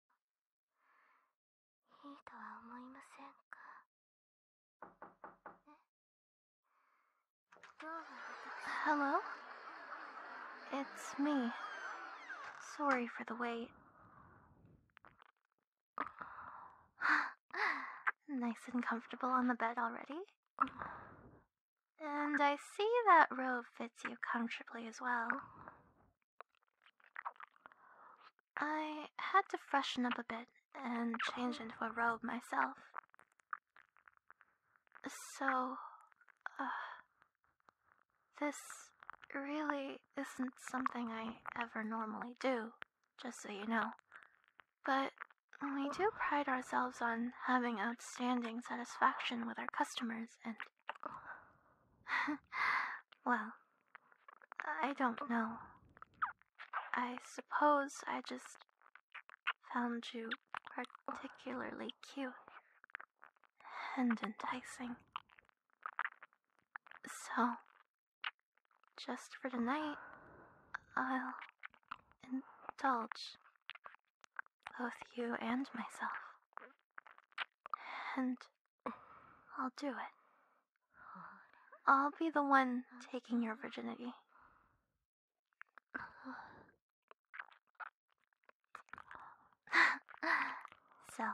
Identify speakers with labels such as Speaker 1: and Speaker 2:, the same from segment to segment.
Speaker 1: いいとは思いませんか
Speaker 2: Hello? It's me. Sorry for the wait. nice and comfortable on the bed already? And I see that robe fits you comfortably as well. I had to freshen up a bit and change into a robe myself. So, uh, this really isn't something I ever normally do, just so you know. But we do pride ourselves on having outstanding satisfaction with our customers and well, I don't know. I suppose I just found you particularly cute and enticing. So, just for tonight, I'll indulge both you and myself. And I'll do it. I'll be the one taking your virginity. so,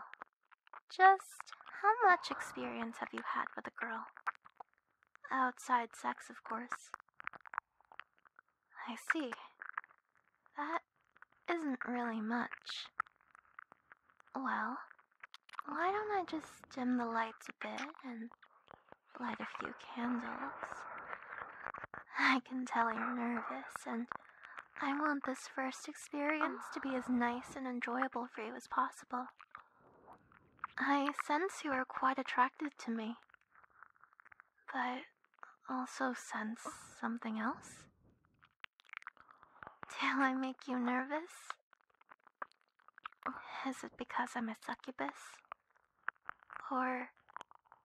Speaker 2: just how much experience have you had with a girl? Outside sex, of course. I see. That is isn't really much. Well, why don't I just dim the lights a bit and light a few candles? I can tell you're nervous, and I want this first experience to be as nice and enjoyable for you as possible. I sense you are quite attracted to me, but also sense something else. Do I make you nervous? Is it because I'm a succubus? Or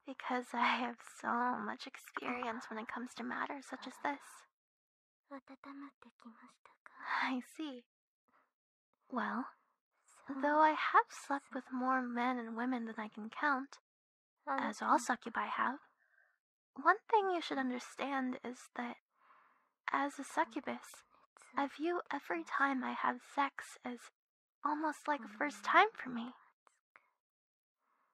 Speaker 2: because I have so much experience when it comes to matters such as this? I see. Well, though I have slept with more men and women than I can count, as all succubi have, one thing you should understand is that as a succubus, I view every time I have sex as almost like a first time for me.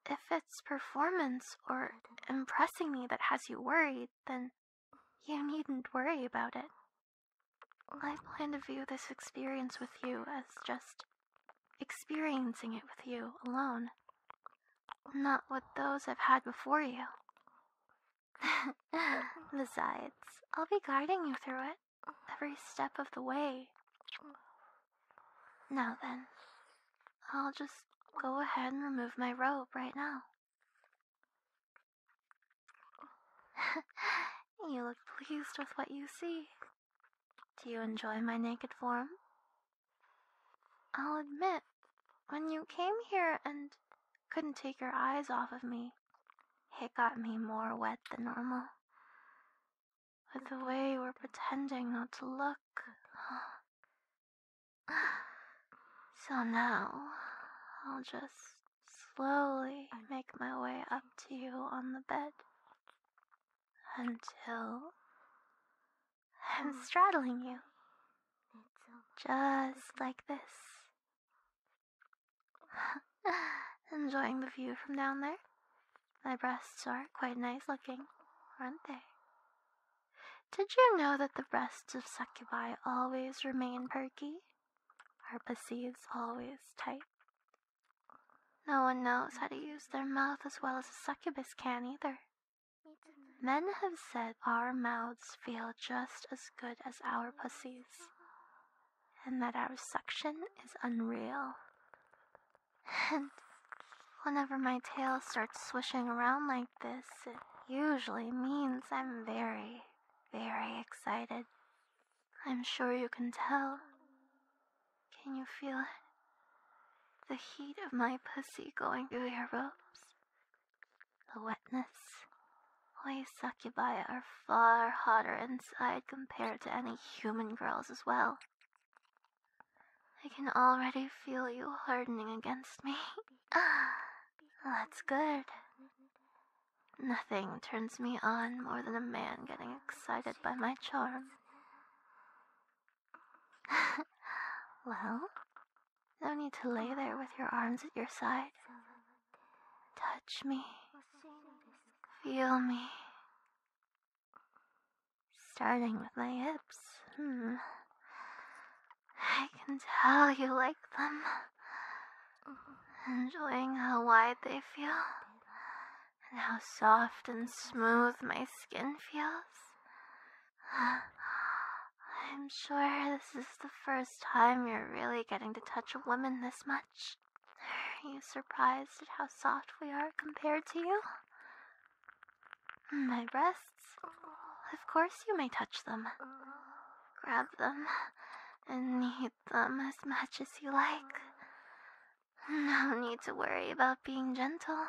Speaker 2: If it's performance or impressing me that has you worried, then you needn't worry about it. I plan to view this experience with you as just experiencing it with you alone not with those I've had before you. Besides, I'll be guiding you through it every step of the way. Now then, I'll just go ahead and remove my robe right now. you look pleased with what you see. Do you enjoy my naked form? I'll admit when you came here and couldn't take your eyes off of me, it got me more wet than normal. With the way you were pretending not to look. So now, I'll just slowly make my way up to you on the bed until I'm oh. straddling you. Just like this. Enjoying the view from down there? My breasts are quite nice looking, aren't they? Did you know that the breasts of succubi always remain perky? Are pussies always tight? No one knows how to use their mouth as well as a succubus can either. Men have said our mouths feel just as good as our pussies, and that our suction is unreal. And whenever my tail starts swishing around like this, it usually means I'm very, very excited. I'm sure you can tell. Can you feel it? The heat of my pussy going through your ropes, the wetness. We succubi are far hotter inside compared to any human girls as well. I can already feel you hardening against me. That's good. Nothing turns me on more than a man getting excited by my charm. well, no need to lay there with your arms at your side. Touch me. Feel me. Starting with my hips. Hmm. I can tell you like them. Enjoying how wide they feel. And how soft and smooth my skin feels. I'm sure this is the first time you're really getting to touch a woman this much. Are you surprised at how soft we are compared to you? My breasts? Of course you may touch them. Grab them and knead them as much as you like. No need to worry about being gentle.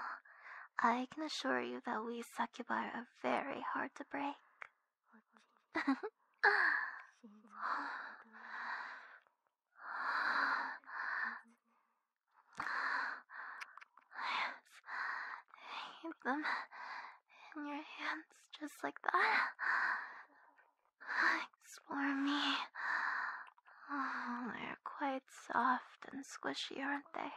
Speaker 2: I can assure you that we succubi are very hard to break. I need them in your hands just like that. Like swarmy. Oh, they're quite soft and squishy, aren't they?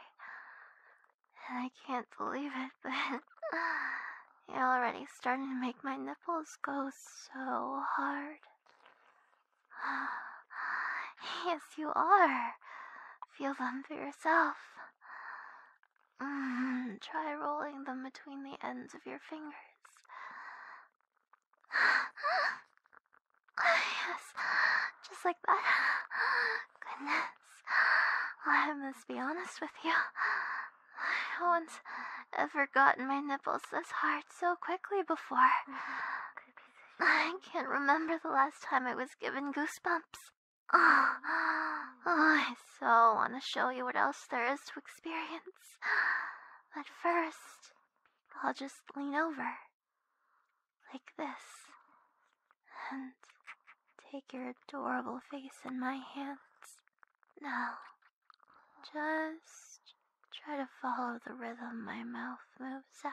Speaker 2: I can't believe it, but you're already starting to make my nipples go so hard. Yes, you are. Feel them for yourself. Mm-hmm. try rolling them between the ends of your fingers. Yes, just like that. Goodness. I must be honest with you. No one's ever gotten my nipples this hard so quickly before. Mm-hmm. I can't remember the last time I was given goosebumps. oh I so want to show you what else there is to experience. But first, I'll just lean over like this, and take your adorable face in my hands. Now, just try to follow the rhythm my mouth moves at.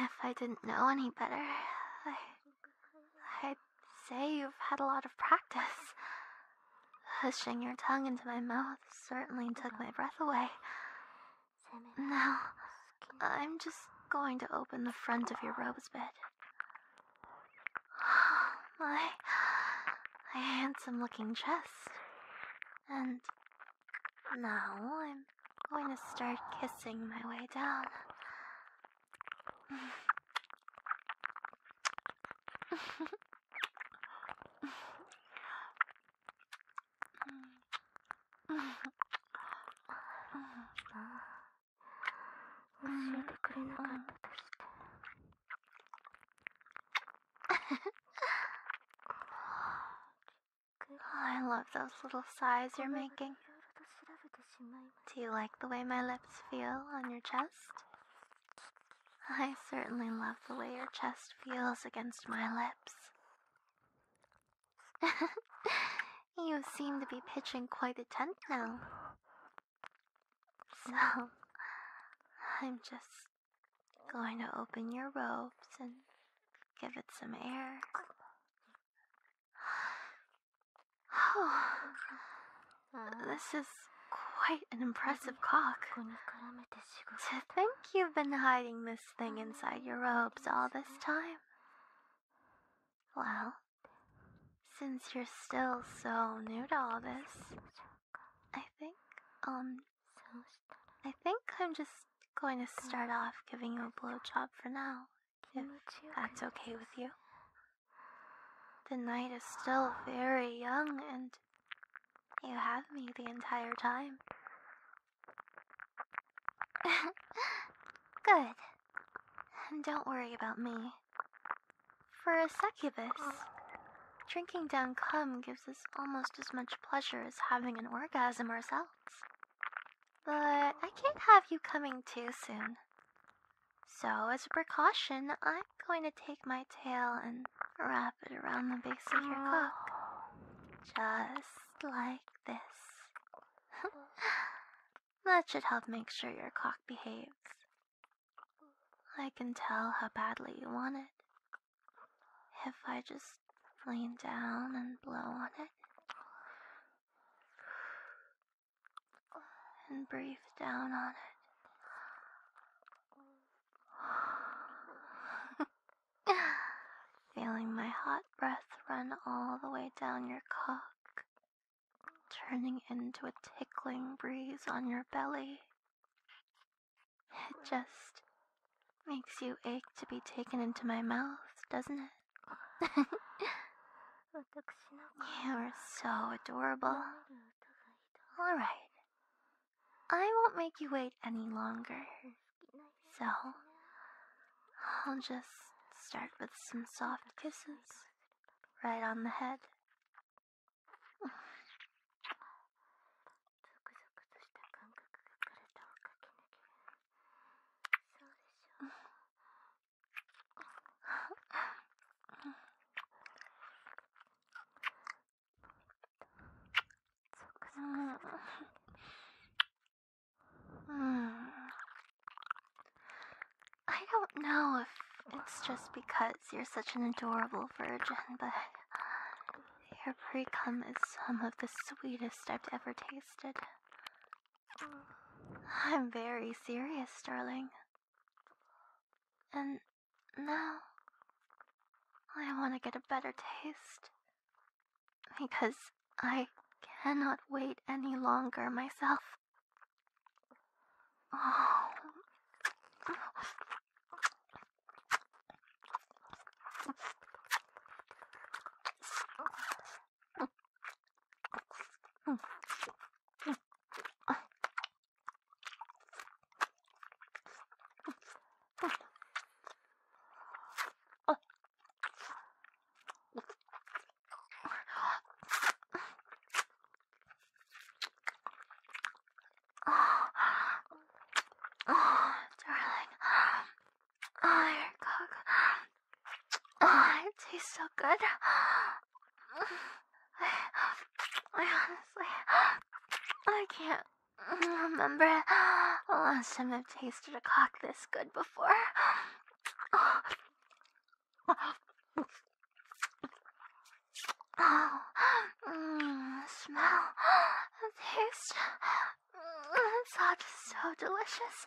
Speaker 2: If I didn't know any better, I, would say you've had a lot of practice. Hushing your tongue into my mouth certainly took my breath away. Now, I'm just going to open the front of your robes, bed. my, my handsome looking chest. And now I'm going to start kissing my way down. Oh, I love those little sighs you're making. Do you like the way my lips feel on your chest? I certainly love the way your chest feels against my lips. you seem to be pitching quite a tent now. So, I'm just going to open your robes and give it some air. Oh, this is quite an impressive cock. To think you've been hiding this thing inside your robes all this time. Well, since you're still so new to all this, I think, um, I think I'm just going to start off giving you a blowjob for now, that's okay with you. The night is still very young, and you have me the entire time. Good. And Don't worry about me. For a succubus, drinking down cum gives us almost as much pleasure as having an orgasm ourselves. But I can't have you coming too soon. So, as a precaution, I'm going to take my tail and wrap it around the base of your cock. Just like this. that should help make sure your cock behaves. I can tell how badly you want it. If I just lean down and blow on it, and breathe down on it. Feeling my hot breath run all the way down your cock, turning into a tickling breeze on your belly. It just makes you ache to be taken into my mouth, doesn't it?
Speaker 1: You're so adorable.
Speaker 2: Alright. I won't make you wait any longer. So, I'll just start with some soft kisses right on the head. Hmm. I don't know if it's just because you're such an adorable virgin, but your pre cum is some of the sweetest I've ever tasted. I'm very serious, darling. And now I want to get a better taste. Because I cannot wait any longer myself. Oh. Oh,
Speaker 1: darling. Oh, your cock. Oh, it tastes so
Speaker 2: good. I, I honestly, I can't remember the last time I've tasted a cock this good before.
Speaker 1: Oh, smell, taste, it's all just so delicious.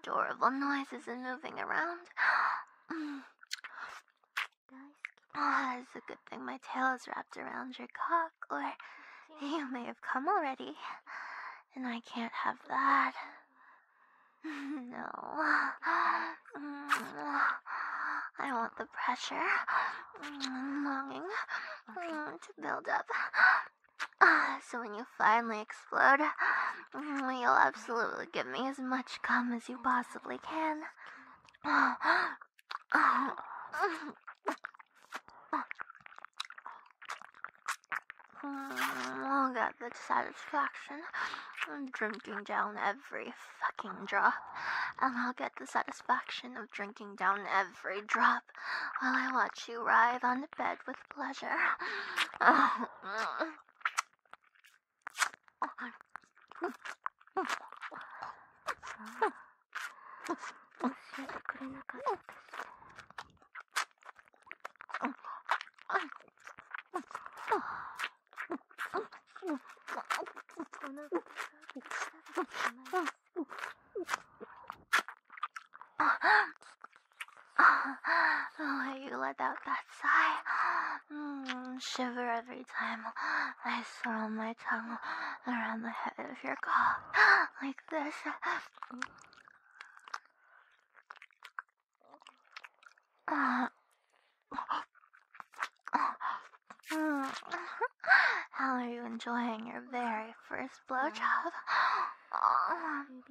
Speaker 2: adorable noises and moving around. Ah, oh, it's a good thing my tail is wrapped around your cock, or you may have come already. And I can't have that. no. I want the pressure and mm, longing mm, to build up Ah, so when you finally explode, you'll absolutely give me as much cum as you possibly can. I'll oh, get the satisfaction of drinking down every fucking drop, and I'll get the satisfaction of drinking down every drop while I watch you writhe on the bed with with pleasure.
Speaker 1: 教えてくれなかったです。お腹が痛くなってきます。
Speaker 2: when oh, you let out that sigh, mm, shiver every time I swirl my tongue around the head of your cock like this. Mm. how are you enjoying your very first blowjob? Um,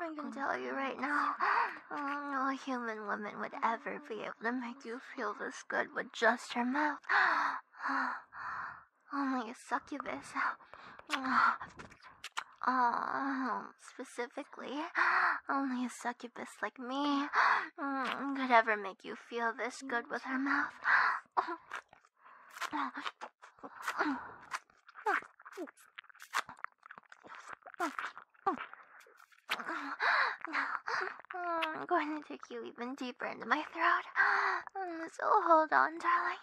Speaker 2: I can tell you right now, no human woman would ever be able to make you feel this good with just her mouth. Only oh, a succubus. Oh, specifically, only a succubus like me mm, could ever make you feel this good with her mouth. I'm going to take you even deeper into my throat. Mm, so hold on, darling.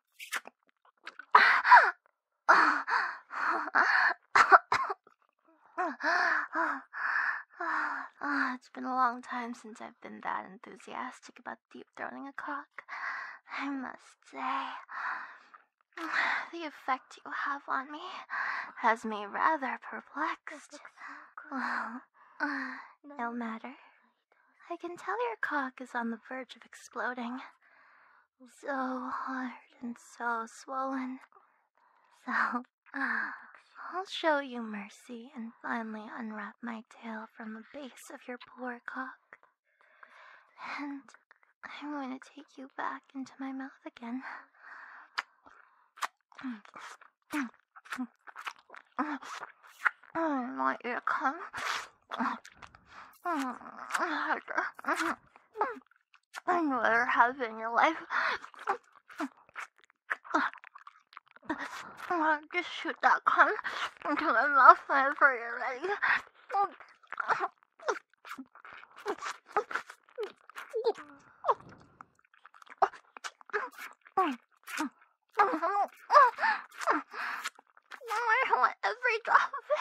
Speaker 2: it's been a long time since I've been that enthusiastic about deep throating a cock. I must say, the effect you have on me has me rather perplexed. Oh, well, uh, no matter. I can tell your cock is on the verge of exploding. So hard and so swollen. So, I'll show you mercy and finally unwrap my tail from the base of your poor cock. And I'm going to take you back into my mouth again. My want come. I never have in your life. Just shoot that cum into my mouth whenever you're ready
Speaker 1: from home. Uh,
Speaker 2: I want every drop of it.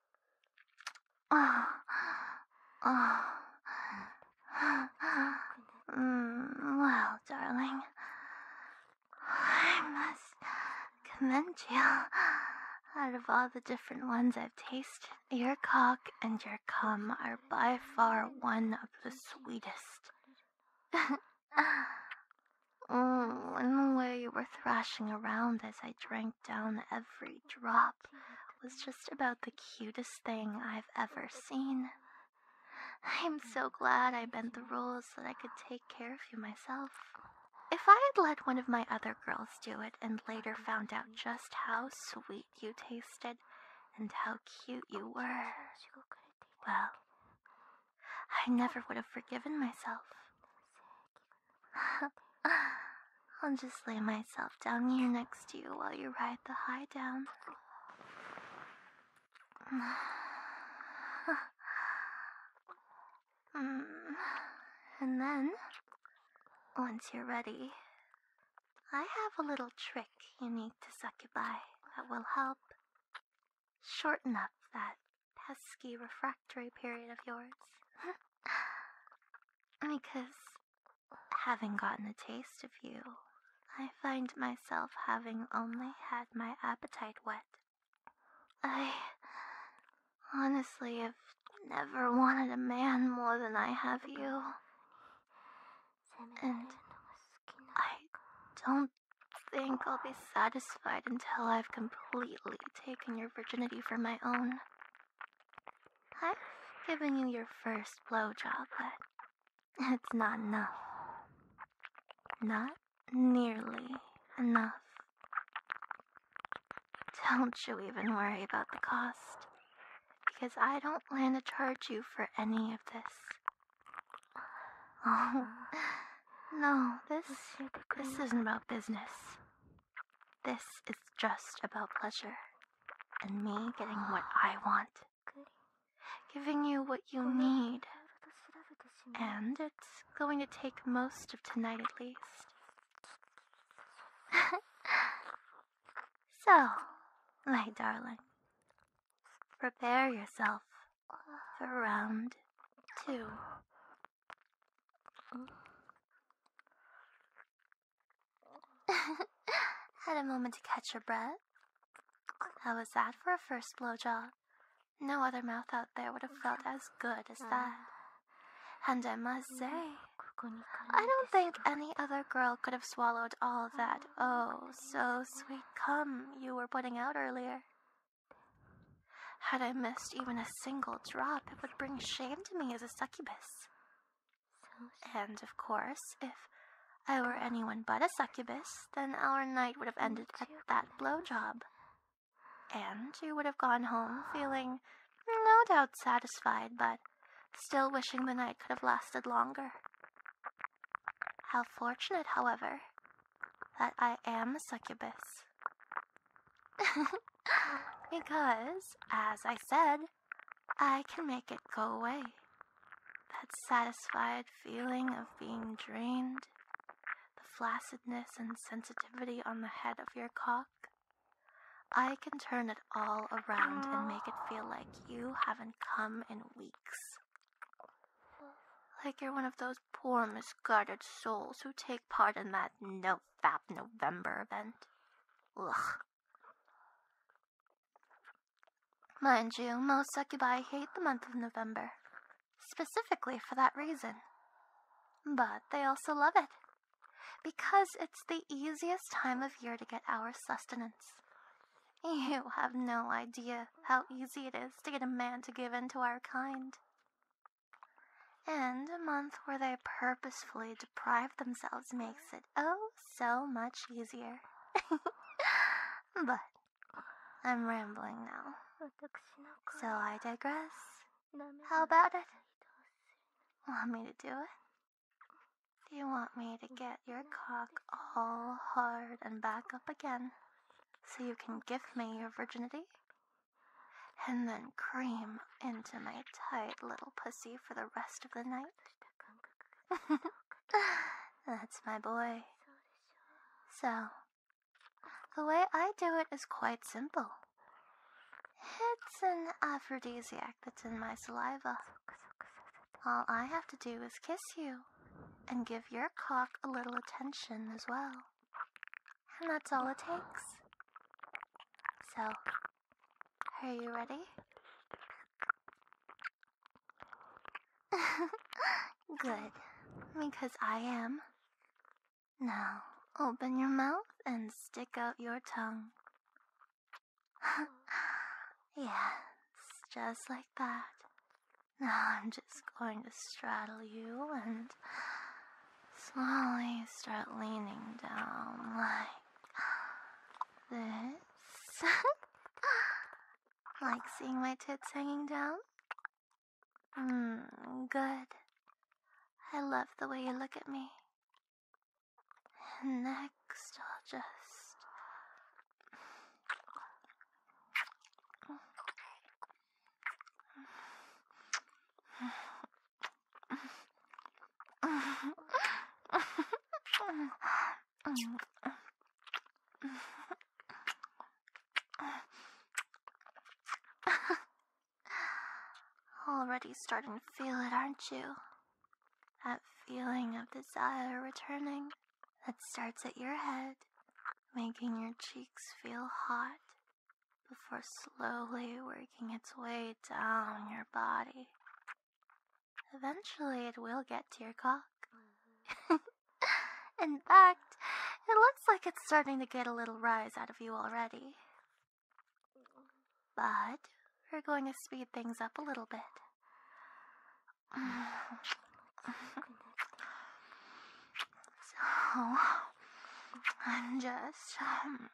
Speaker 2: 啊啊 Mm, well, darling, I must commend you. Out of all the different ones I've tasted, your cock and your cum are by far one of the sweetest. mm, in the way you were thrashing around as I drank down every drop was just about the cutest thing I've ever seen. I'm so glad I bent the rules that I could take care of you myself. If I had let one of my other girls do it and later found out just how sweet you tasted and how cute you were, well, I never would have forgiven myself. I'll just lay myself down here next to you while you ride the high down. Mm. And then, once you're ready, I have a little trick you need to succubi that will help shorten up that pesky refractory period of yours. because, having gotten a taste of you, I find myself having only had my appetite wet. I honestly have never wanted a man more than I have you. And I don't think I'll be satisfied until I've completely taken your virginity for my own. I've given you your first blowjob, but it's not enough. Not nearly enough. Don't you even worry about the cost, because I don't plan to charge you for any of this. Oh, no, this, this isn't about business. This is just about pleasure and me getting what I want, giving you what you need. And it's going to take most of tonight at least. so, my darling, prepare yourself for round two. Had a moment to catch your breath? How was that for a first blowjob? No other mouth out there would have felt as good as that. And I must say, I don't think any other girl could have swallowed all that oh so sweet cum you were putting out earlier. Had I missed even a single drop, it would bring shame to me as a succubus. And of course, if I were anyone but a succubus, then our night would have ended at that blow job, And you would have gone home feeling no doubt satisfied, but still wishing the night could have lasted longer. How fortunate, however, that I am a succubus, because, as I said, I can make it go away. That satisfied feeling of being drained, the flaccidness and sensitivity on the head of your cock. I can turn it all around and make it feel like you haven't come in weeks. Like you're one of those poor, misguided souls who take part in that no Fab November event. Ugh. Mind you, most succubi hate the month of November, specifically for that reason. But they also love it, because it's the easiest time of year to get our sustenance. You have no idea how easy it is to get a man to give in to our kind. And a month where they purposefully deprive themselves makes it oh so much easier. but I'm rambling now. So I digress. How about it? Want me to do it? Do you want me to get your cock all hard and back up again so you can give me your virginity? and then cream into my tight little pussy for the rest of the night. That's my boy. So, the way I do it is quite simple. It's an aphrodisiac that's in my saliva. All I have to do is kiss you and give your cock a little attention as well. And that's all it takes. So, are you ready? Good, because I am. Now, open your mouth and stick out your tongue. yes, just like that. Now I'm just going to straddle you and slowly start leaning down like this. like seeing my tits hanging down? Mmm, good. I love the way you look at me. next, I'll just. Already starting to feel it, aren't you? That feeling of desire returning that starts at your head, making your cheeks feel hot before slowly working its way down your body. Eventually, it will get to your cock. Mm-hmm. In fact, it looks like it's starting to get a little rise out of you already. But we're going to speed things up a little bit. so, I'm just um,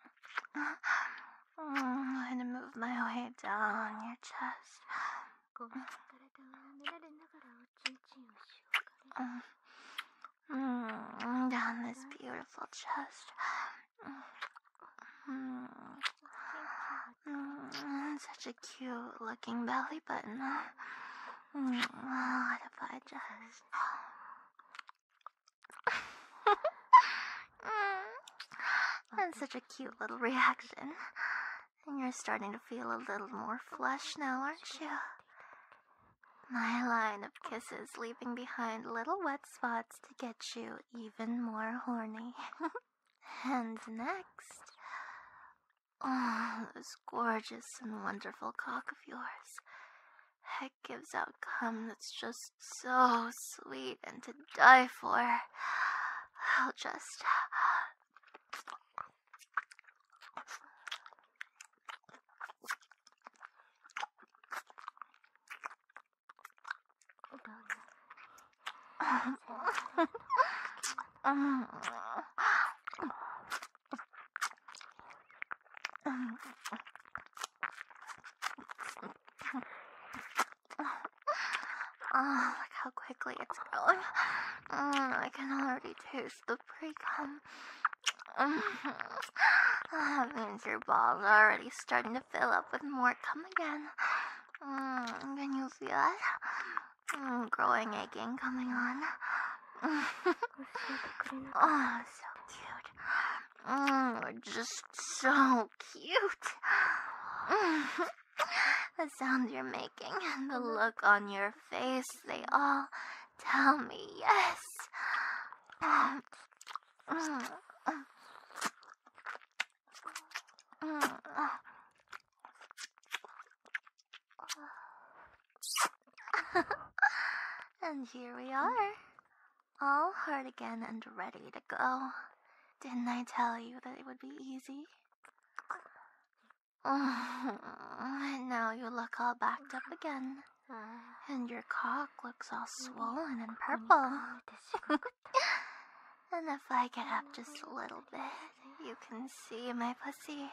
Speaker 2: I'm going to move my way down your chest. Um, mm, down this beautiful chest. Mm, such a cute looking belly button. Mm, what if I just That's such a cute little reaction. And you're starting to feel a little more flush now, aren't you? My line of kisses leaving behind little wet spots to get you even more horny. and next, oh, this gorgeous and wonderful cock of yours gives out cum that's just so sweet and to die for. I'll just. Oh, look how quickly it's growing. Mm, I can already taste the pre-cum. Mm-hmm. that means your balls are already starting to fill up with more cum again. Mm, can you feel it? Mm, growing aching coming on. oh, so cute. Mm, just so cute. the sound you're making and the mm-hmm. look on your face, they all tell me yes. and here we are all hard again and ready to go. Didn't I tell you that it would be easy? and now you look all backed up again. And your cock looks all swollen and purple. and if I get up just a little bit, you can see my pussy.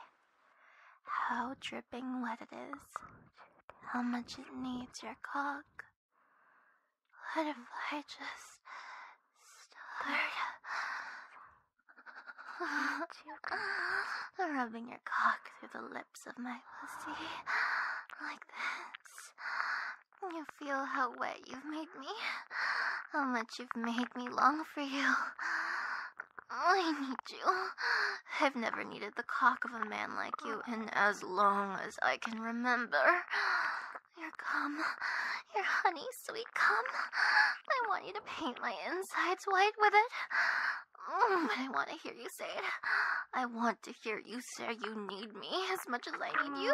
Speaker 2: How dripping wet it is how much it needs your cock. What if I just start you rubbing your cock through the lips of my pussy like this? You feel how wet you've made me, how much you've made me long for you. I need you. I've never needed the cock of a man like you in as long as I can remember. Your cum, your honey sweet come. I want you to paint my insides white with it. Mm, but I want to hear you say it. I want to hear you say you need me as much as I need you.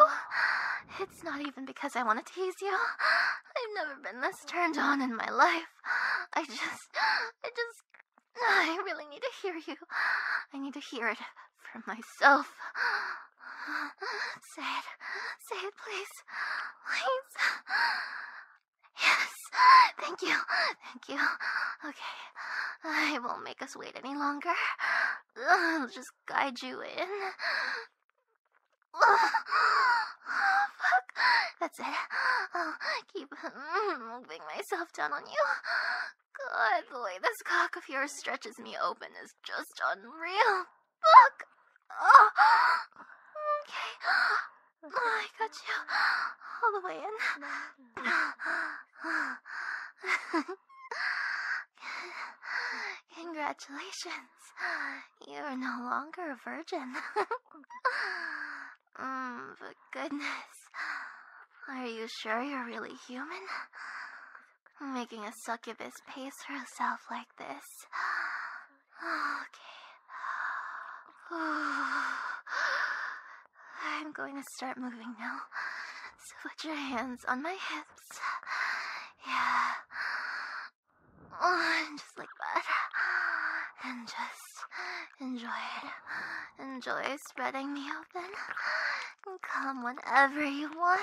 Speaker 2: It's not even because I want to tease you. I've never been this turned on in my life. I just, I just I really need to hear you. I need to hear it from myself. Say it. Say it, please.
Speaker 1: Please. Yes. Thank you. Thank you. Okay.
Speaker 2: I won't make us wait any longer. I'll just guide you in. Oh, fuck. That's it. I'll keep moving myself down on you. God, the way this cock of yours stretches me open is just unreal. Fuck. Oh, okay. Oh,
Speaker 1: I got you all the way in.
Speaker 2: Congratulations. You are no longer a virgin. Mm, for goodness. Are you sure you're really human? Making a succubus pace herself like this. Okay. I'm going to start moving now. So put your hands on my hips. Yeah. Oh, just like that. And just Enjoy it. Enjoy spreading me open. Come whenever you want.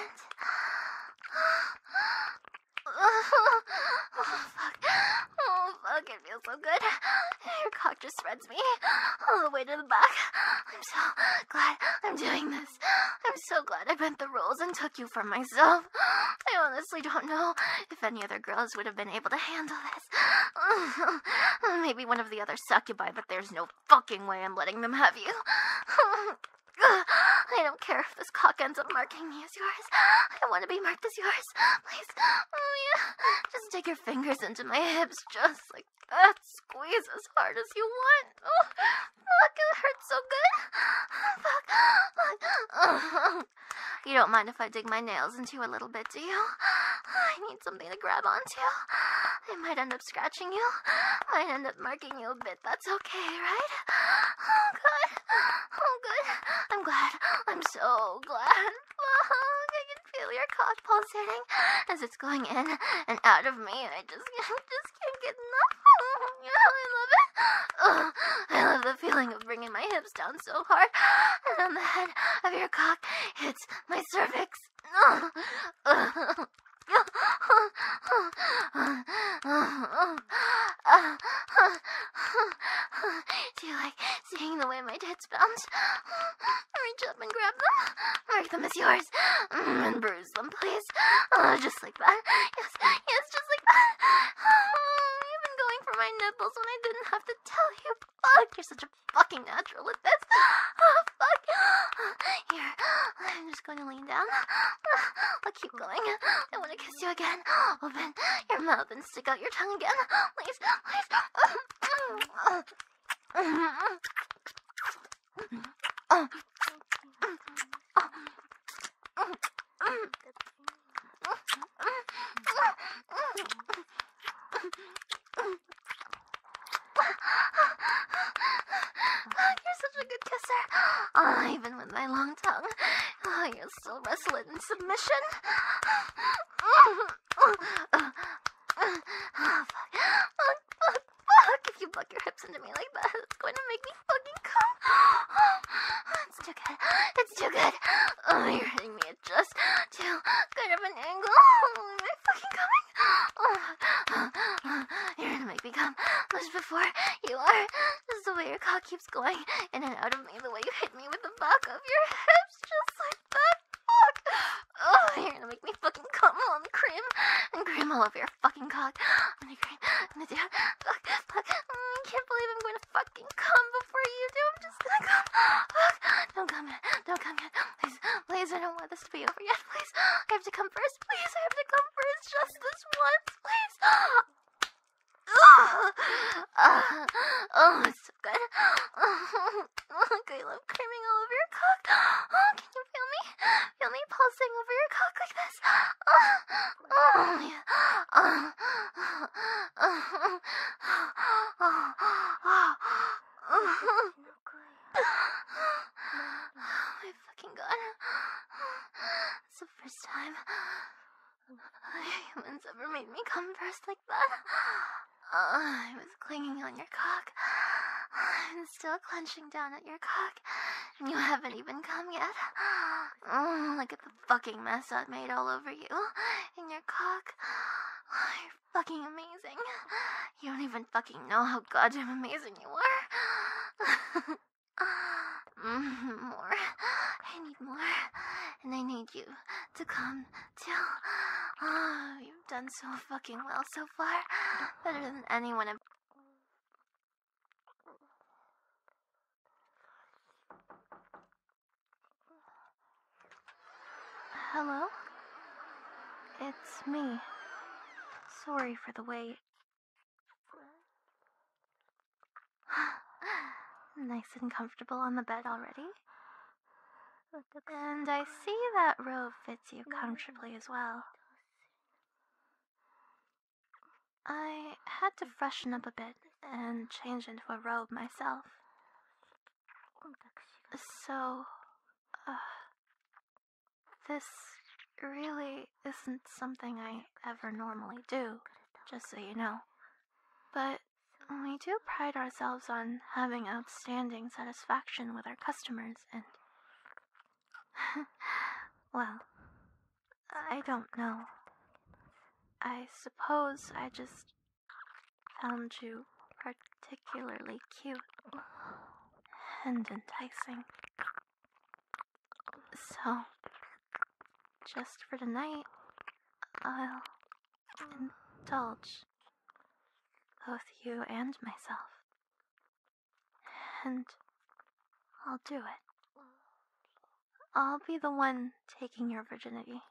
Speaker 2: Oh, fuck. Oh, fuck. It feels so good. Your cock just spreads me all the way to the back. I'm so glad I'm doing this. I'm so glad I bent the rules and took you for myself. I honestly don't know if any other girls would have been able to handle it. Oh, maybe one of the other succubi, but there's no fucking way I'm letting them have you. I don't care if this cock ends up marking me as yours. I want to be marked as yours. Please. Oh, yeah. Just dig your fingers into my hips just like that. Squeeze as hard as you want. Oh, fuck, it hurts so good. Fuck. fuck. You don't mind if I dig my nails into you a little bit, do you? something to grab onto. It might end up scratching you, might end up marking you a bit. That's okay, right? Oh, good. Oh, good. I'm glad. I'm so glad. I can feel your cock pulsating as it's going in and out of me. I just, I just can't get enough. I love it. Oh, I love the feeling of bringing my hips down so hard, and on the head of your cock hits my cervix. Do you like seeing the way my tits bounce? Reach up and grab them. Mark them as yours. Mm, and bruise them, please. Ah, just like that. Yes, yes, just like that. you've ah, been going for my nipples when I didn't have to tell you. Fuck, you fucking natural at this. fuck. Here, I'm just going to lean down. I'll keep going. I want to kiss you again. Open your mouth and stick out your tongue again. Please, please. you're such a good kisser. Oh, even with my long tongue, oh, ah, you still wrestle it in submission. oh, fuck. Fuck, fuck, fuck. If you buck your hips into me like that, it's going to make me fucking come. Oh, it's too good. It's too good. Oh, you're hitting me just do good of an angle. Oh, oh, you're gonna make me come much before you are. This is the way your cock keeps going in and out of me, the way you hit me with the back of your hips, just like that. Fuck. Oh, you're gonna make me fucking come on the cream and cream all over your fucking cock. I'm gonna cream, I'm gonna do fuck, fuck. Mm, I can't believe I'm gonna fucking come before you do. I'm just gonna come. Don't come yet. Don't come yet. Please, please, I don't want this to be over yet. Please, I have to come first. Please, I have to come first. Just this once, please. Oh, uh, oh it's so good. I oh, love creaming all over your cock. Oh, can you feel me? Feel me pulsing over your cock like this? Oh, oh, yeah. oh,
Speaker 1: oh, oh, oh, oh, oh. Oh
Speaker 2: my fucking god. It's the first time humans ever made me come first like that. I was clinging on your cock. I'm still clenching down at your cock. And you haven't even come yet. Oh, look at the fucking mess I've made all over you. In your cock fucking amazing. You don't even fucking know how goddamn amazing you are. Mm-hmm, more. I need more. And I need you to come till. Oh, you've done so fucking well so far. Better than anyone i Hello? It's me. Sorry for the wait. nice and comfortable on the bed already. And I see that robe fits you comfortably as well. I had to freshen up a bit and change into a robe myself. So, this really isn't something I ever normally do, just so you know. But we do pride ourselves on having outstanding satisfaction with our customers, and. well, I don't know. I suppose I just found you particularly cute and enticing. So, just for tonight, I'll indulge both you and myself. And I'll do it. I'll be the one taking your virginity.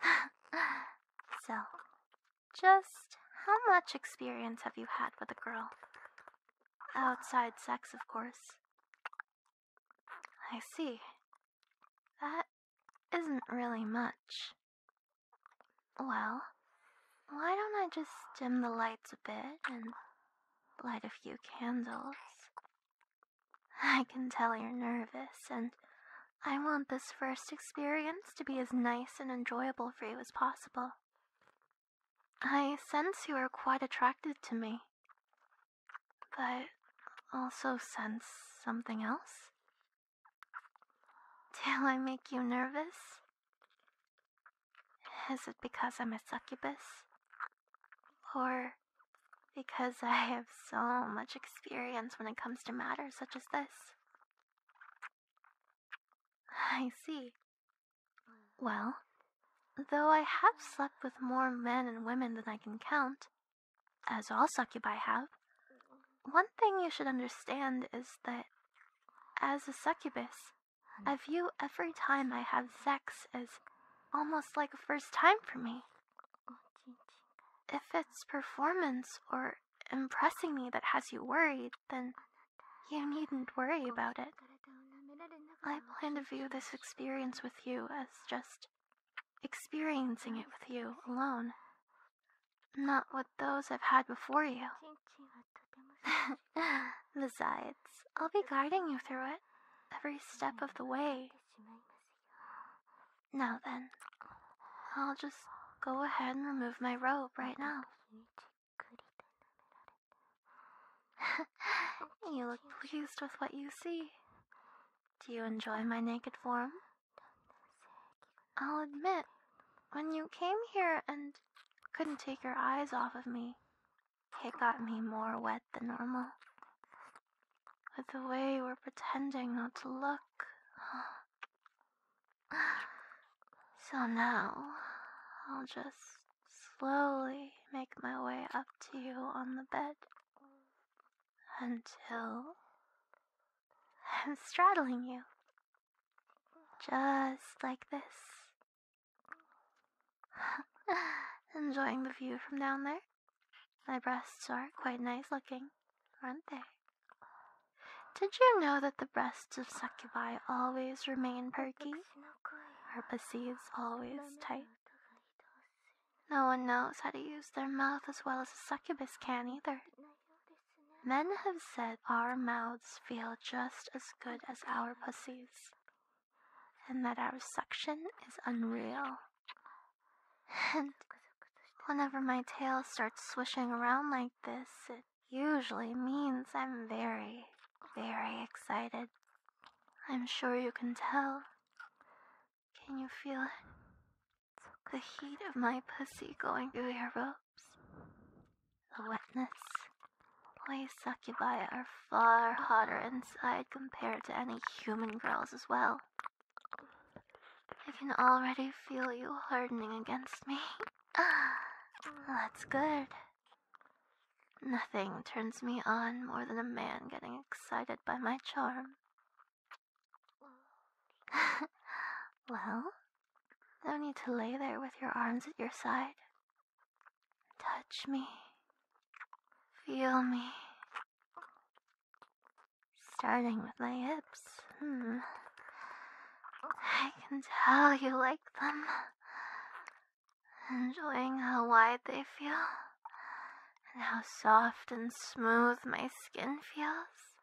Speaker 2: so, just how much experience have you had with a girl? Outside sex, of course. I see. That isn't really much. Well, why don't I just dim the lights a bit and light a few candles? I can tell you're nervous, and I want this first experience to be as nice and enjoyable for you as possible. I sense you are quite attracted to me, but also sense something else. Do I make you nervous? Is it because I'm a succubus? Or because I have so much experience when it comes to matters such as this. I see. Well, though I have slept with more men and women than I can count, as all succubi have, one thing you should understand is that, as a succubus, hmm. I view every time I have sex as almost like a first time for me. If it's performance or impressing me that has you worried, then you needn't worry about it. I plan to view this experience with you as just experiencing it with you alone, not with those I've had before you. Besides, I'll be guiding you through it every step of the way. Now then, I'll just go ahead and remove my robe right now. you look pleased with what you see. Do you enjoy my naked form? I'll admit, when you came here and couldn't take your eyes off of me, it got me more wet than normal with the way we're pretending not to look. So now, I'll just slowly make my way up to you on the bed until I'm straddling you. Just like this. Enjoying the view from down there? My breasts are quite nice looking, aren't they? Did you know that the breasts of succubi always remain perky? Are pussies always tight? No one knows how to use their mouth as well as a succubus can either. Men have said our mouths feel just as good as our pussies, and that our suction is unreal. And whenever my tail starts swishing around like this, it usually means I'm very, very excited. I'm sure you can tell. Can you feel it? The heat of my pussy going through your ropes. The wetness. We succubi are far hotter inside compared to any human girls as well. I can already feel you hardening against me. That's good. Nothing turns me on more than a man getting excited by my charm. well, no need to lay there with your arms at your side. Touch me. Feel me. Starting with my hips. Hmm. I can tell you like them. Enjoying how wide they feel, and how soft and smooth my skin feels.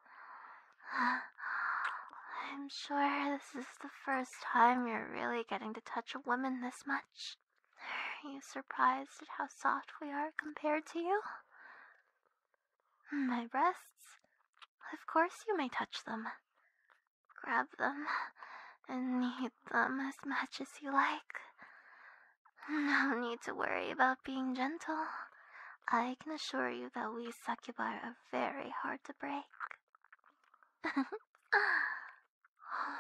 Speaker 2: I'm sure this is the first time you're really getting to touch a woman this much. Are you surprised at how soft we are compared to you? My breasts? Of course you may touch them. Grab them and knead them as much as you like. No need to worry about being gentle. I can assure you that we succubae are very hard to break.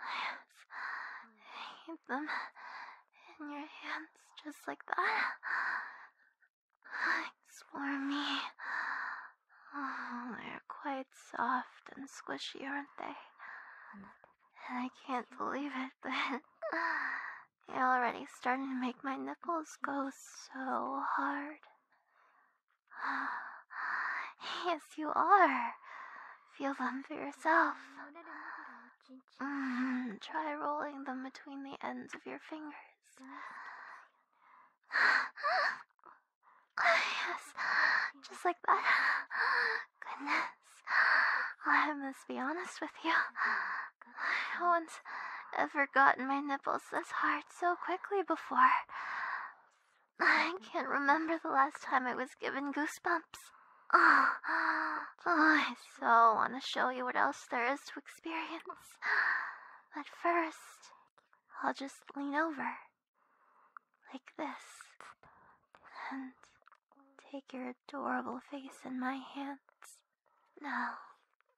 Speaker 1: I hate them in your hands
Speaker 2: just like that. Explore me. Oh, they're quite soft and squishy, aren't they? And I can't believe it, but you're already starting to make my nipples go so hard. Yes, you are. Feel them for yourself. Mm, try rolling them between the ends of your fingers. yes, just like that. Goodness. I must be honest with you. No one's ever gotten my nipples this hard so quickly before. I can't remember the last time I was given goosebumps. oh, I so want to show you what else there is to experience. But first, I'll just lean over. Like this. And take your adorable face in my hands. Now,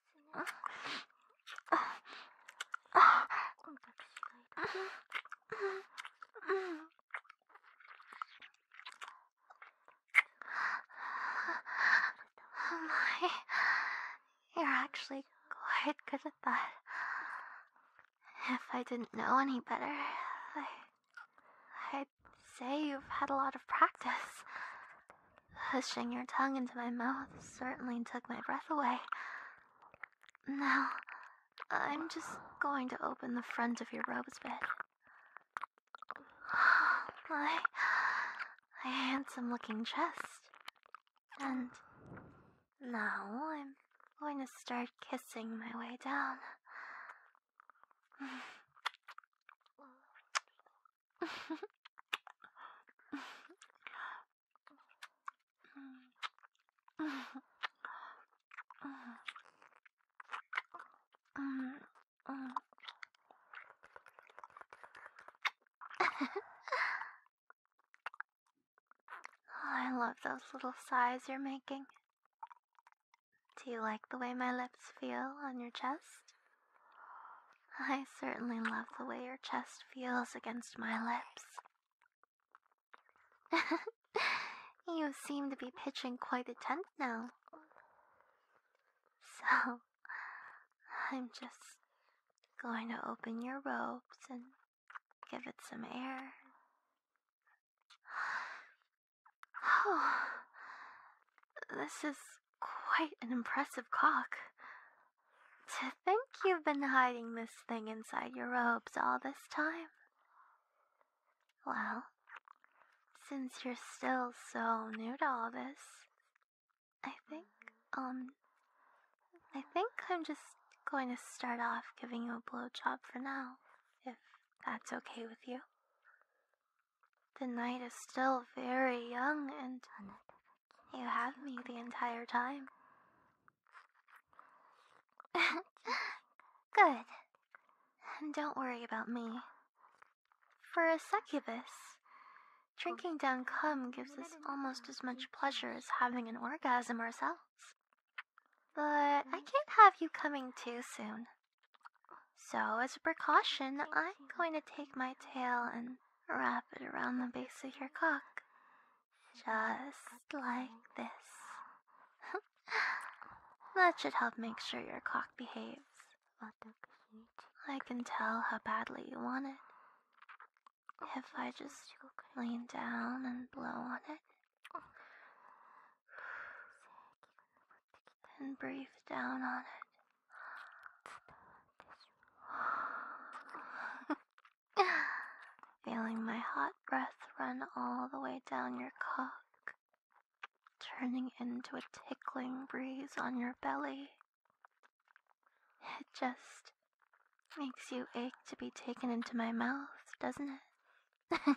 Speaker 2: Oh my, you're actually quite good at that. If I didn't know any better, I, I'd say you've had a lot of practice. Pushing your tongue into my mouth certainly took my breath away. Now, I'm just going to open the front of your robes, bed. My, my handsome looking chest. And now I'm going to start kissing my way down. I love those little sighs you're making. Do you like the way my lips feel on your chest? I certainly love the way your chest feels against my lips. you seem to be pitching quite a tent now. So, I'm just going to open your robes and give it some air. Oh, this is quite an impressive cock. To think you've been hiding this thing inside your robes all this time. Well, since you're still so new to all this, I think, um, I think I'm just going to start off giving you a blowjob for now, if that's okay with you. The night is still very young and you have me the entire time. Good. Don't worry about me. For a succubus, drinking down cum gives us almost as much pleasure as having an orgasm ourselves. But I can't have you coming too soon. So, as a precaution, I'm going to take my tail and wrap it around the base of your cock. Just like this. that should help make sure your cock behaves. I can tell how badly you want it. If I just lean down and blow on it, and breathe down on it. Feeling my hot breath run all the way down your cock, turning into a tickling breeze on your belly. It just makes you ache to be taken into my mouth, doesn't it?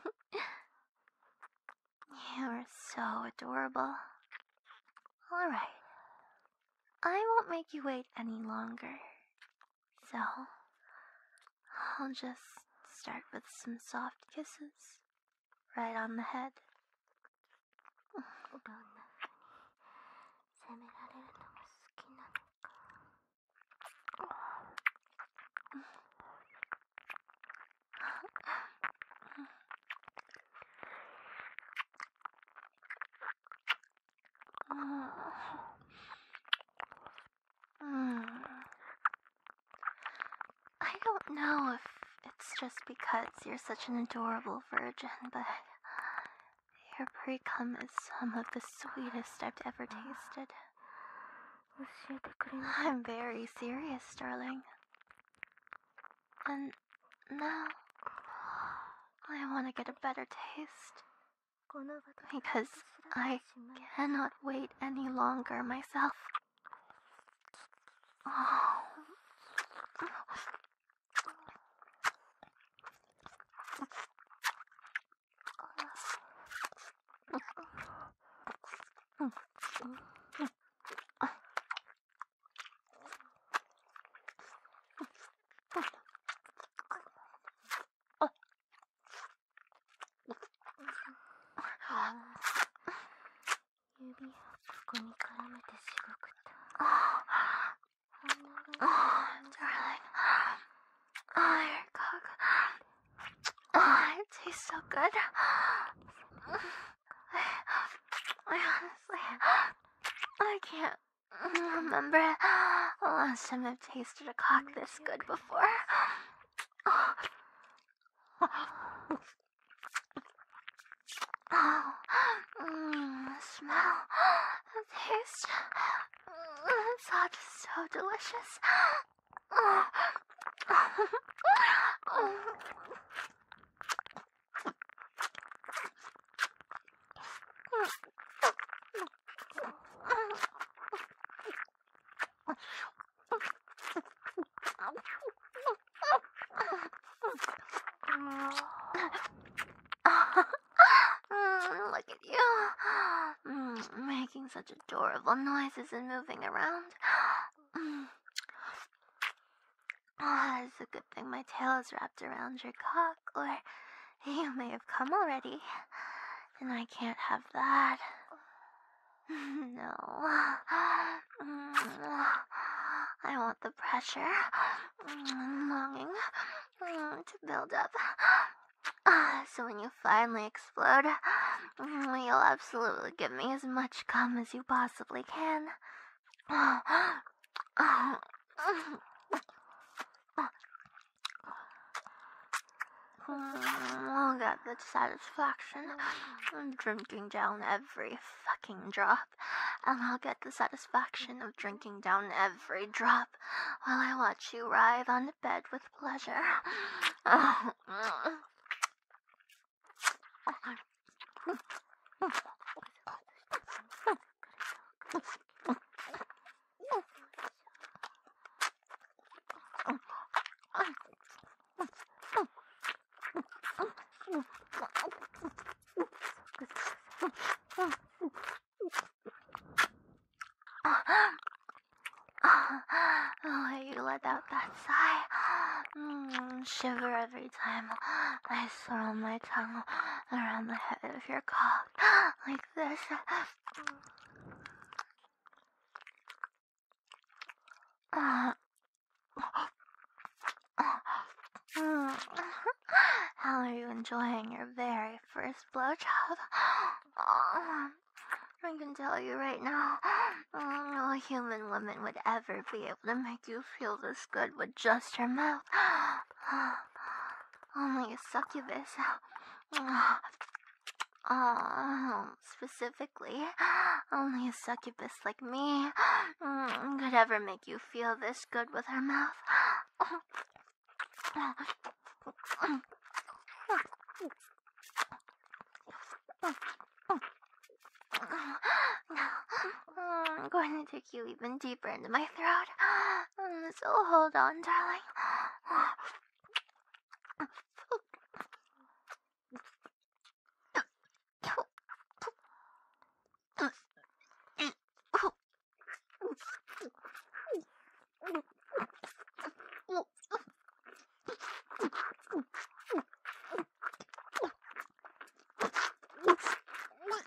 Speaker 2: you are so adorable. Alright, I won't make you wait any longer. So, I'll just start with some soft kisses right on the head. I don't know if it's just because you're such an adorable virgin, but your pre cum is some of the sweetest I've ever tasted. I'm very serious, darling. And now I want to get a better taste because I cannot wait any longer myself.
Speaker 1: 指ここに絡めてしごくとああ
Speaker 2: あ darling oh your cock oh it tastes so good I, I honestly I can't Remember, last oh, time I've tasted a cock this good before. Oh.
Speaker 1: smell, taste, mm, it's all just so delicious. Mm.
Speaker 2: Look at you, mm, making such adorable noises and moving around. Mm. Ah, it's a good thing my tail is wrapped around your cock, or you may have come already, and I can't have that. no. I want the pressure and mm, longing mm, to build up. So when you finally explode, you'll absolutely give me as much cum as you possibly can. I'll oh get the satisfaction am drinking down every fucking drop, and I'll get the satisfaction of drinking down every drop while I watch you writhe on the bed with pleasure. Oh, you let out that sigh. Mm, shiver every time I swirl my tongue around the head of your cock. I uh, how are you enjoying your very first blowjob? Oh, I can tell you right now, no human woman would ever be able to make you feel this good with just her mouth only a succubus. Oh, specifically, only a succubus like me could ever make you feel this good with her mouth. I'm going to kick you even deeper into my throat. Mm, so hold on, darling.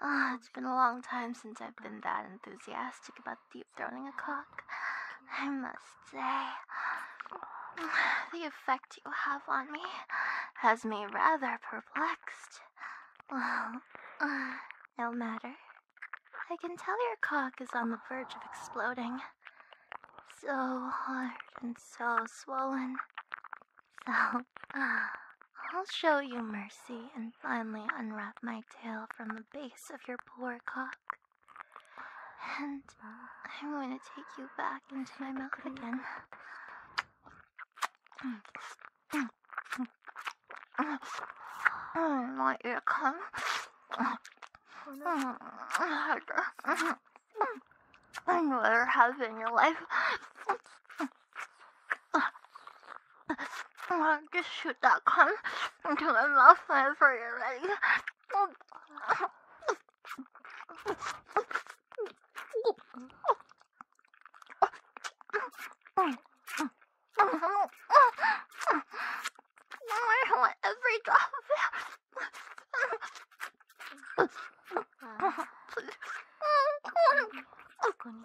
Speaker 2: Ah, it's been a long time since I've been that enthusiastic about deep throating a cock. I must say, the effect you have on me has me rather perplexed. Well, no matter. I can tell your cock is on the verge of exploding. So hard and so swollen. So, I'll show you mercy and finally unwrap my tail from the base of your poor cock. And I'm going to take you back into my mouth again. I want you to come. I'd rather have in your life. I'll just shoot that gun until my mouth fires for I want every drop of it. Please. Oh,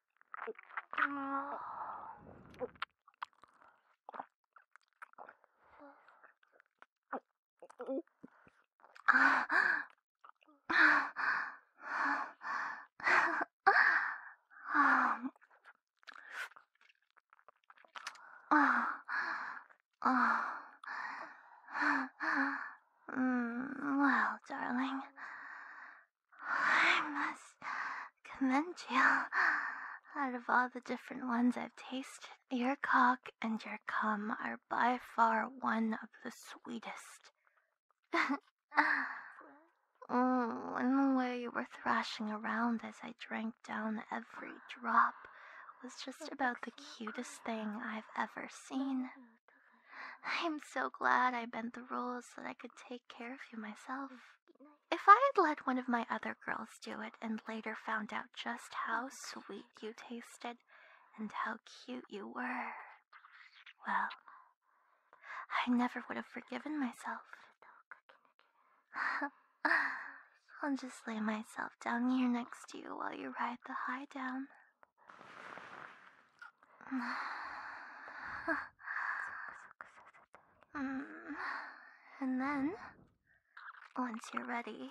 Speaker 2: Mm, well, darling, I must commend you. Out of all the different ones I've tasted, your cock and your cum are by far one of the sweetest. oh, and the way you were thrashing around as I drank down every drop was just about the cutest thing I've ever seen. I'm so glad I bent the rules that I could take care of you myself. If I had let one of my other girls do it and later found out just how sweet you tasted and how cute you were, well, I never would have forgiven myself. I'll just lay myself down here next to you while you ride the high down. and then, once you're ready,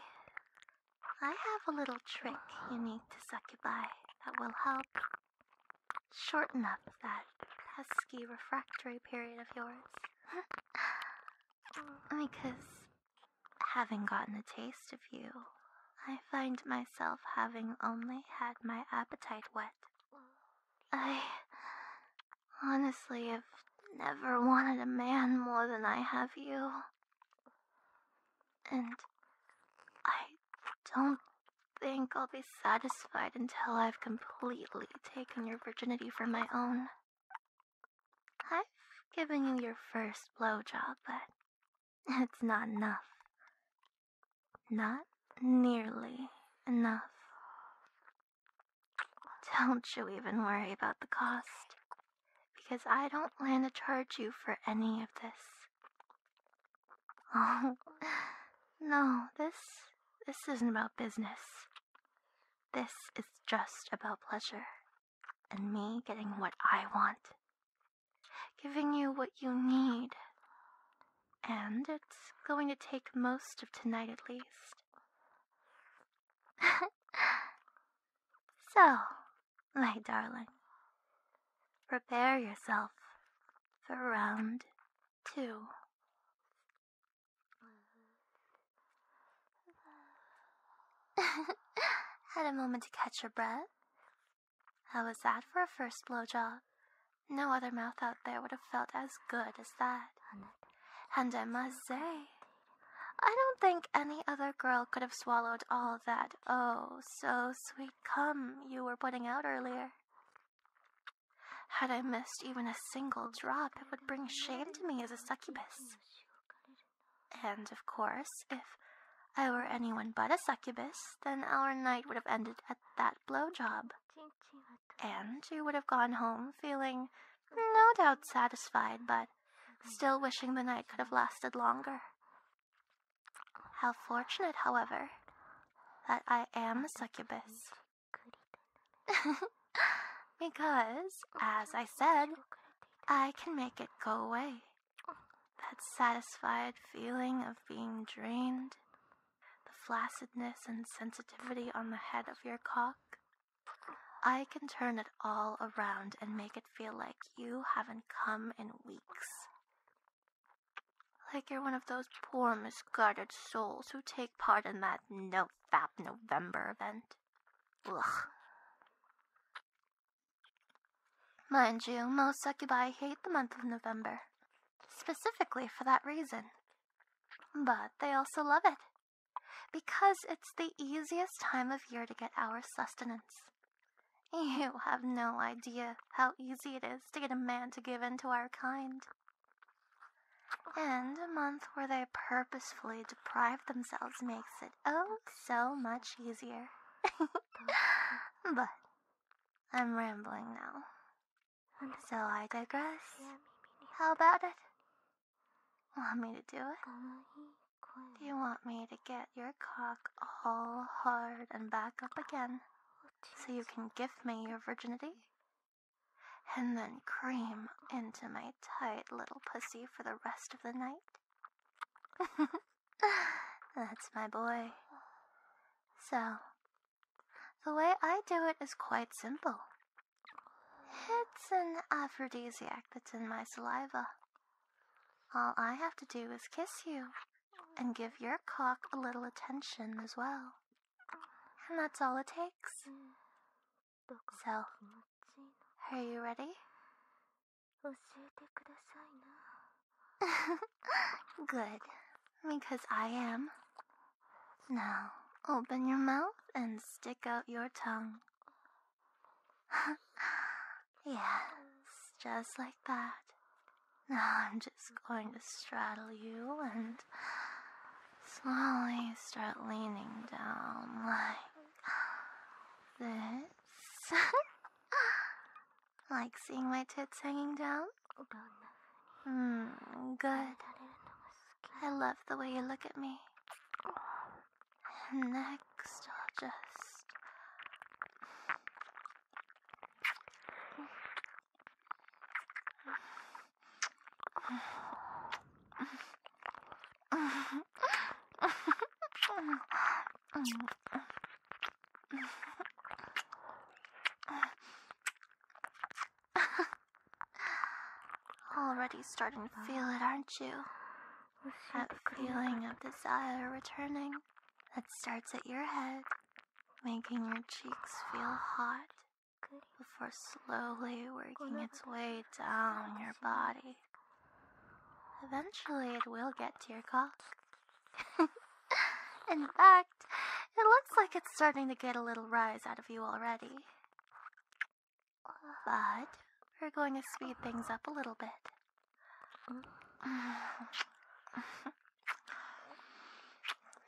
Speaker 2: I have a little trick you need to succubi that will help shorten up that pesky refractory period of yours. because having gotten a taste of you I find myself having only had my appetite wet. I honestly have never wanted a man more than I have you. And I don't think I'll be satisfied until I've completely taken your virginity for my own. I've given you your first blowjob, but it's not enough. Not nearly enough. Don't you even worry about the cost, because I don't plan to charge you for any of this. Oh, no, this, this isn't about business. This is just about pleasure and me getting what I want giving you what you need. And it's going to take most of tonight at least. so, my darling, prepare yourself for round two. Had a moment to catch your breath how was that for a first blowjob? No other mouth out there would have felt as good as that. And I must say, I don't think any other girl could have swallowed all that oh so sweet cum you were putting out earlier. Had I missed even a single drop, it would bring shame to me as a succubus. And of course, if I were anyone but a succubus, then our night would have ended at that blowjob. And you would have gone home feeling no doubt satisfied, but still wishing the night could have lasted longer. How fortunate, however, that I am a succubus. because, as I said, I can make it go away. That satisfied feeling of being drained, the flaccidness and sensitivity on the head of your cock. I can turn it all around and make it feel like you haven't come in weeks. Like you're one of those poor, misguided souls who take part in that no fab November event. Ugh. Mind you, most succubi hate the month of November specifically for that reason. But they also love it because it's the easiest time of year to get our sustenance. You have no idea how easy it is to get a man to give in to our kind. And a month where they purposefully deprive themselves makes it oh so much easier. but I'm rambling now. So I digress. How about it? Want me to do it? Do you want me to get your cock all hard and back up oh, again so you can give me your virginity? And then cream into my tight little pussy for the rest of the night? That's my boy. Oh. So, the way I do it is quite simple. It's an aphrodisiac that's in my saliva. All I have to do is kiss you and give your cock a little attention as well. And that's all it takes. So, are you ready? Good, because I am. Now, open your mouth and stick out your tongue. yes, just like that. Now I'm just going to straddle you and slowly start leaning down like this. Like seeing my tits hanging down? Hmm, good. I love the way you look at me. Next, I'll just. Already starting to feel it, aren't you? That feeling of desire returning that starts at your head, making your cheeks feel hot before slowly working its way down your body. Eventually, it will get to your cock. In fact, it looks like it's starting to get a little rise out of you already. But we're going to speed things up a little bit.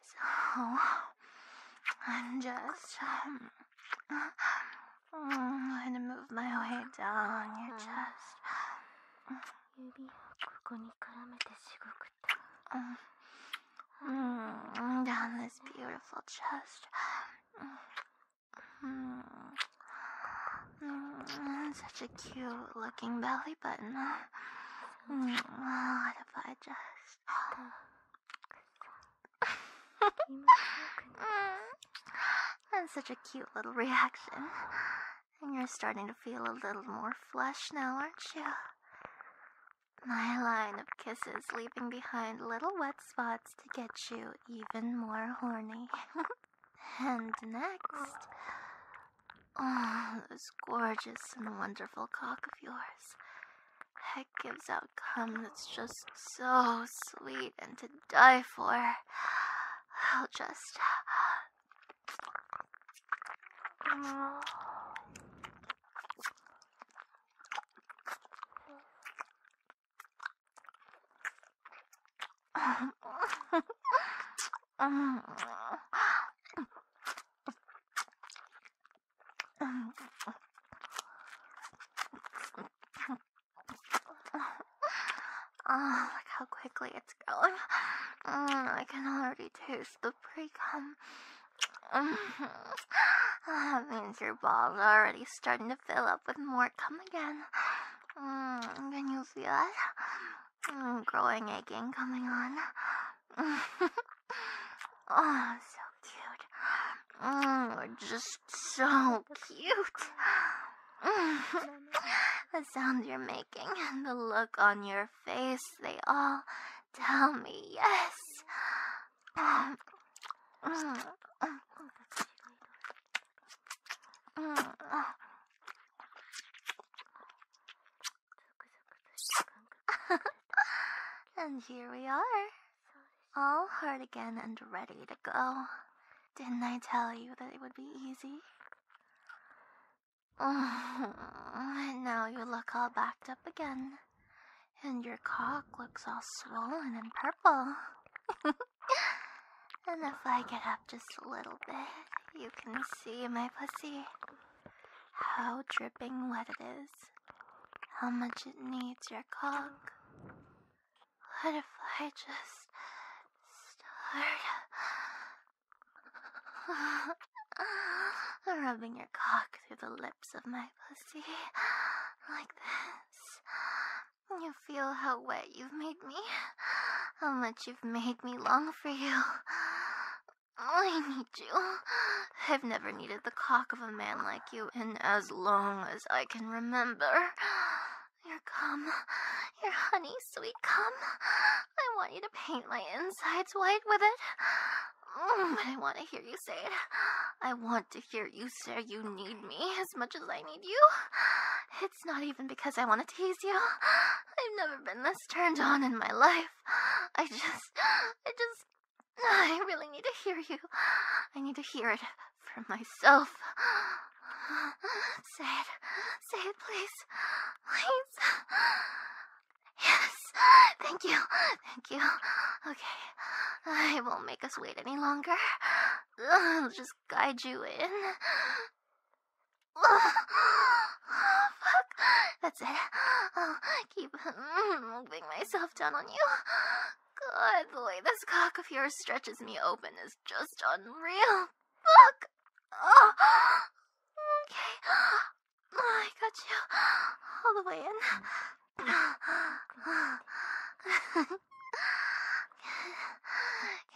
Speaker 2: So, I'm just um, going to move my way down down this beautiful chest. Mm-hmm. Such a cute looking belly button. What if I just. That's such a cute little reaction. And you're starting to feel a little more flesh now, aren't you? My line of kisses leaving behind little wet spots to get you even more horny. and next, oh, this gorgeous and wonderful cock of yours. It gives out cum that's just so sweet and to die for. I'll just Oh. Oh, look how quickly it's going. Mm, I can already taste the pre um, that means your balls are already starting to fill up with more come again. Mm, can you feel it? Mm, growing aching coming on. oh, so cute. Mm, you're just so cute. the sound you're making and the look on your face, they all tell me yes. and here we are, all hard again and ready to go. Didn't I tell you that it would be easy? Oh, now you look all backed up again. And your cock looks all swollen and purple. and if I get up just a little bit, you can see my pussy. How dripping wet it is. How much it needs your cock. What if I just start Rubbing your cock through the lips of my pussy, like this. You feel how wet you've made me, how much you've made me long for you. I need you. I've never needed the cock of a man like you in as long as I can remember. you're come. You're honey sweet come. I want you to paint my insides white with it. Mm, but I want to hear you say it. I want to hear you say you need me as much as I need you. It's not even because I want to tease you. I've never been this turned on in my life. I just, I just, I really need to hear you. I need to hear it from myself. Say it. Say it, please. Please. Yes, thank you, thank you. Okay, I won't make us wait any longer. I'll just guide you in. fuck. That's it. I'll keep mm, moving myself down on you. God, the way this cock of yours stretches me open is just unreal. Fuck. Oh. Okay. I got you all the way in.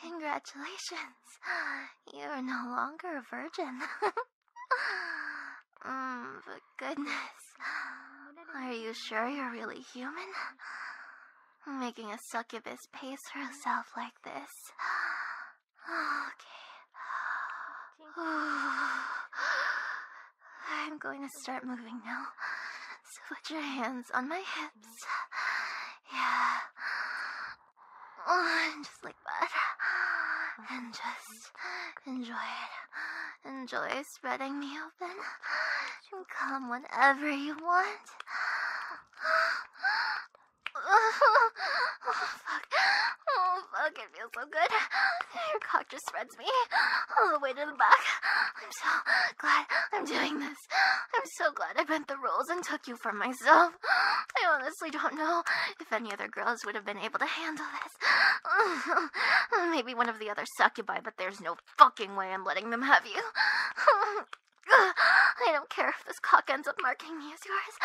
Speaker 2: Congratulations. You are no longer a virgin. mm, but goodness. Are you sure you're really human? Making a succubus pace herself like this. Okay. I'm going to start moving now. So put your hands on my hips. Yeah. and just like that. And just enjoy it. Enjoy spreading me open. And come whenever you want. Oh, fuck. Oh, fuck. It feels so good. Your cock just spreads me all the way to the back. I'm so glad I'm doing this. I'm so glad I bent the rules and took you for myself. I honestly don't know if any other girls would have been able to handle this. Maybe one of the other succubi, but there's no fucking way I'm letting them have you. I don't care if this cock ends up marking me as yours.